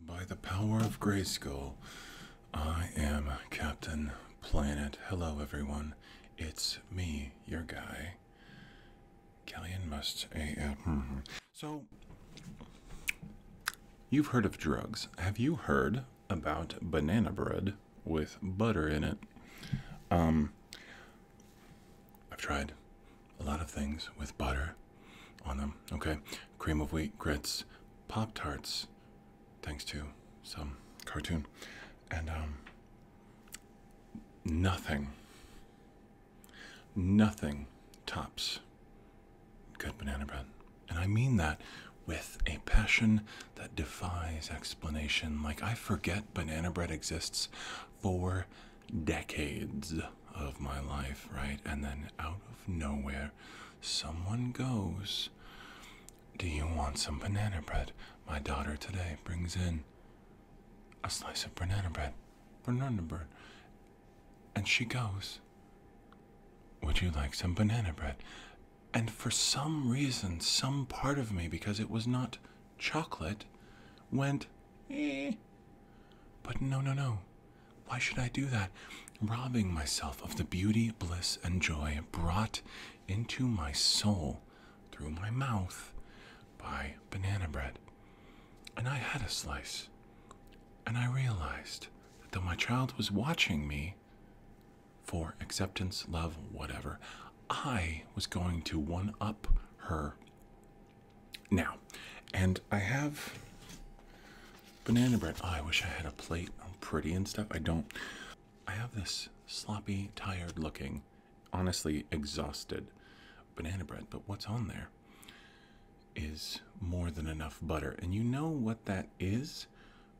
By the power of Grayskull, I am Captain Planet. Hello, everyone. It's me, your guy, Galleon Must So, you've heard of drugs. Have you heard about banana bread with butter in it? Um, I've tried a lot of things with butter on them. Okay, cream of wheat, grits, Pop Tarts, thanks to some cartoon, and um, nothing, nothing tops good banana bread. And I mean that with a passion that defies explanation. Like, I forget banana bread exists. Four decades of my life, right? And then out of nowhere, someone goes, Do you want some banana bread? My daughter today brings in a slice of banana bread, banana bread. And she goes, Would you like some banana bread? And for some reason, some part of me, because it was not chocolate went eh. But no, no, no. Why should I do that? Robbing myself of the beauty, bliss, and joy brought into my soul through my mouth by banana bread. And I had a slice. And I realized that though my child was watching me for acceptance, love, whatever, I was going to one up her now, and I have banana bread. Oh, I wish I had a plate. I'm pretty and stuff. I don't. I have this sloppy, tired looking, honestly exhausted banana bread, but what's on there is more than enough butter. And you know what that is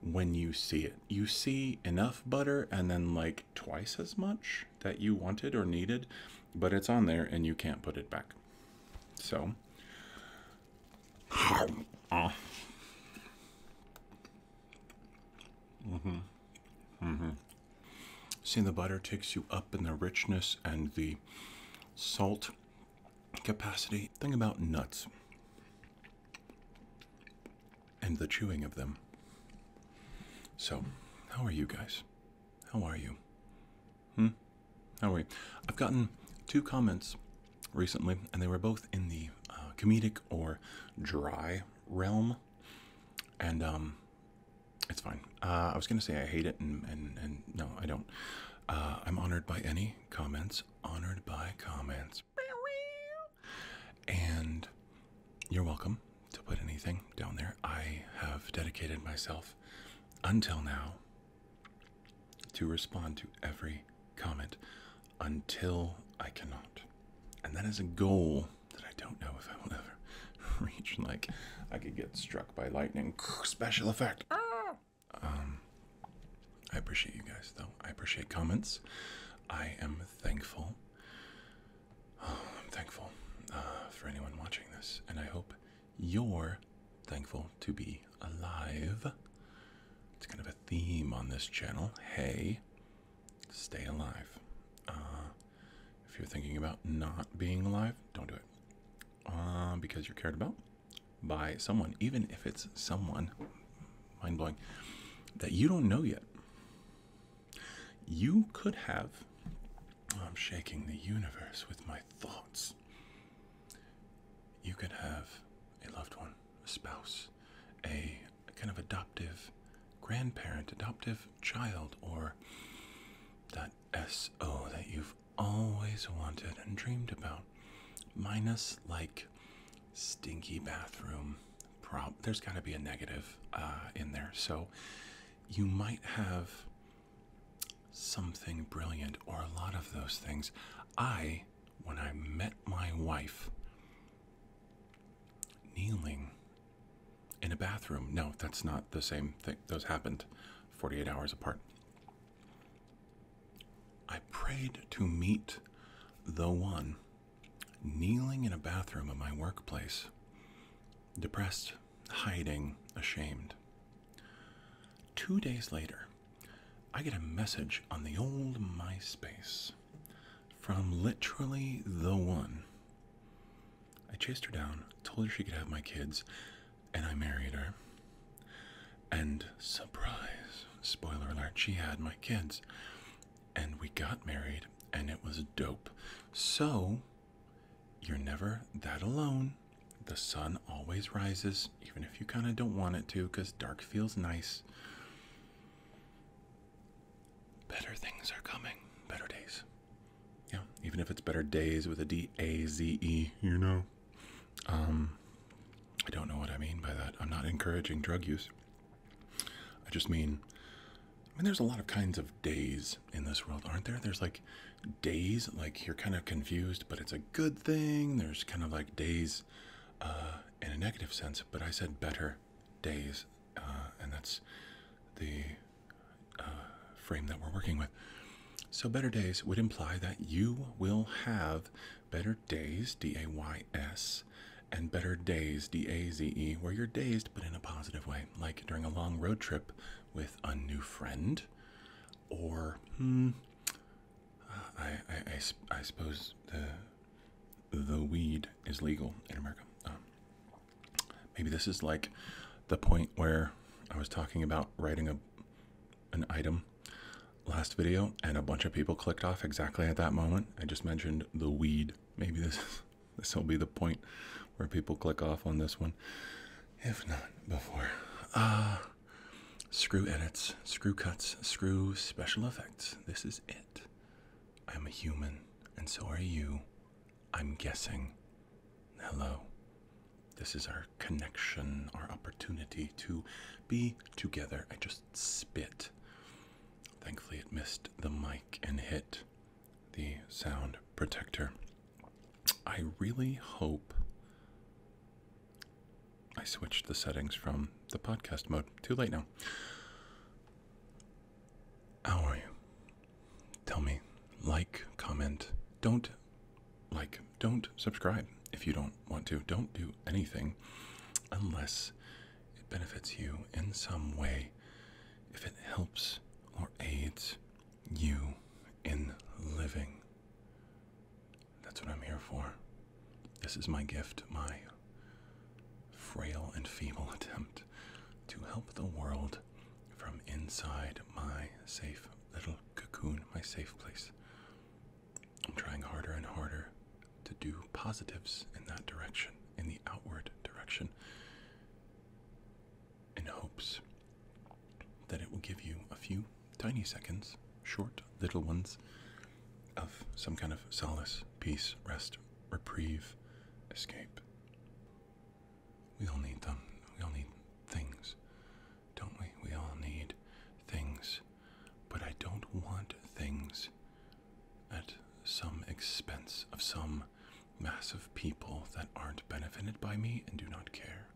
when you see it. You see enough butter and then like twice as much that you wanted or needed, but it's on there and you can't put it back. So, uh. Mm-hmm, mm-hmm. Seeing the butter takes you up in the richness and the salt capacity. Thing about nuts and the chewing of them. So, how are you guys? How are you? Hmm? How are you? I've gotten two comments recently, and they were both in the uh, comedic or dry realm. And um, it's fine. Uh, I was going to say I hate it, and, and, and no, I don't. Uh, I'm honored by any comments. Honored by comments. And you're welcome to put anything down there. I have dedicated myself until now to respond to every comment until I cannot. And that is a goal that I don't know if I will ever reach. Like, I could get struck by lightning, special effect. Ah. Um, I appreciate you guys, though. I appreciate comments. I am thankful. I'm thankful uh, for anyone watching this, and I hope you're thankful to be alive. It's kind of a theme on this channel. Hey, stay alive. Uh, if you're thinking about not being alive, don't do it. Uh, because you're cared about by someone, even if it's someone mind blowing that you don't know yet. You could have. I'm shaking the universe with my thoughts. You could have a loved one, a spouse, a, kind of adoptive grandparent, adoptive child, or that SO that you've always wanted and dreamed about, minus like Stinky bathroom. Prob there's got to be a negative uh, in there. So you might have something brilliant or a lot of those things. I, when I met my wife, kneeling in a bathroom. No, that's not the same thing. Those happened 48 hours apart. I prayed to meet the one kneeling in a bathroom at my workplace, depressed, hiding, ashamed. Two days later, I get a message on the old MySpace from literally the one. I chased her down, told her she could have my kids, and I married her. And surprise, spoiler alert, she had my kids. And we got married, and it was dope. So, you're never that alone. The sun always rises, even if you kind of don't want it to, because dark feels nice. Better things are coming, better days. Yeah, even if it's better days with a D A Z E, you know. Um, I don't know what I mean by that. I'm not encouraging drug use. I just mean, I mean, there's a lot of kinds of days in this world, aren't there? There's like days, like you're kind of confused, but it's a good thing. There's kind of like days uh, in a negative sense, but I said better days, uh, and that's the uh, frame that we're working with. So, better days would imply that you will have better days, D A Y S, and better days, D A Z E, where you're dazed but in a positive way, like during a long road trip with a new friend, or, hmm, I, I, I, suppose the, the weed is legal in America. Um, maybe this is like the point where I was talking about writing a an item last video and a bunch of people clicked off exactly at that moment. I just mentioned the weed. Maybe this this will be the point where people click off on this one. If not before. Uh screw edits, screw cuts, screw special effects. This is it. I'm a human and so are you. I'm guessing. Hello. This is our connection, our opportunity to be together. I just spit. Thankfully, it missed the mic and hit the sound protector. I really hope I switched the settings from the podcast mode. Too late now. How are you? Tell me. Like, comment. Don't like, don't subscribe if you don't want to. Don't do anything unless it benefits you in some way, if it helps or aids you in living. That's what I'm here for. This is my gift, my frail and feeble attempt to help the world from inside my safe little cocoon, my safe place. I'm trying harder and harder to do positives in that direction, in the outward direction, in hopes that it will give you a few tiny seconds, short little ones, of some kind of solace, peace, rest, reprieve, escape. We all need them. We all need things, don't we? We all need things. But I don't want things at some expense of some mass of people that aren't benefited by me and do not care.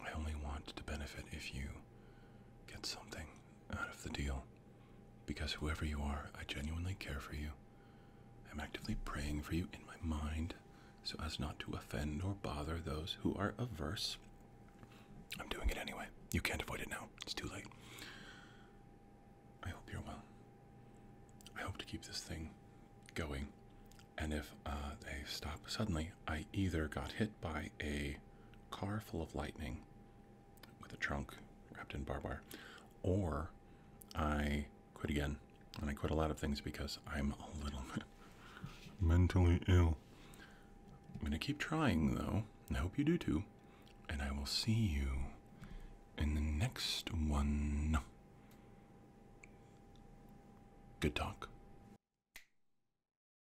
I only want to benefit if you get something out of the deal. Because whoever you are, I genuinely care for you. I'm actively praying for you in my mind so as not to offend or bother those who are averse. I'm doing it anyway. You can't avoid it now. It's too late. I hope you're well. I hope to keep this thing going. And if uh, they stop suddenly, I either got hit by a car full of lightning with a trunk wrapped in barbed wire, or I quit again. And I quit a lot of things because I'm a little mentally ill. I'm going to keep trying, though, I hope you do too. And I will see you in the next one. Good talk.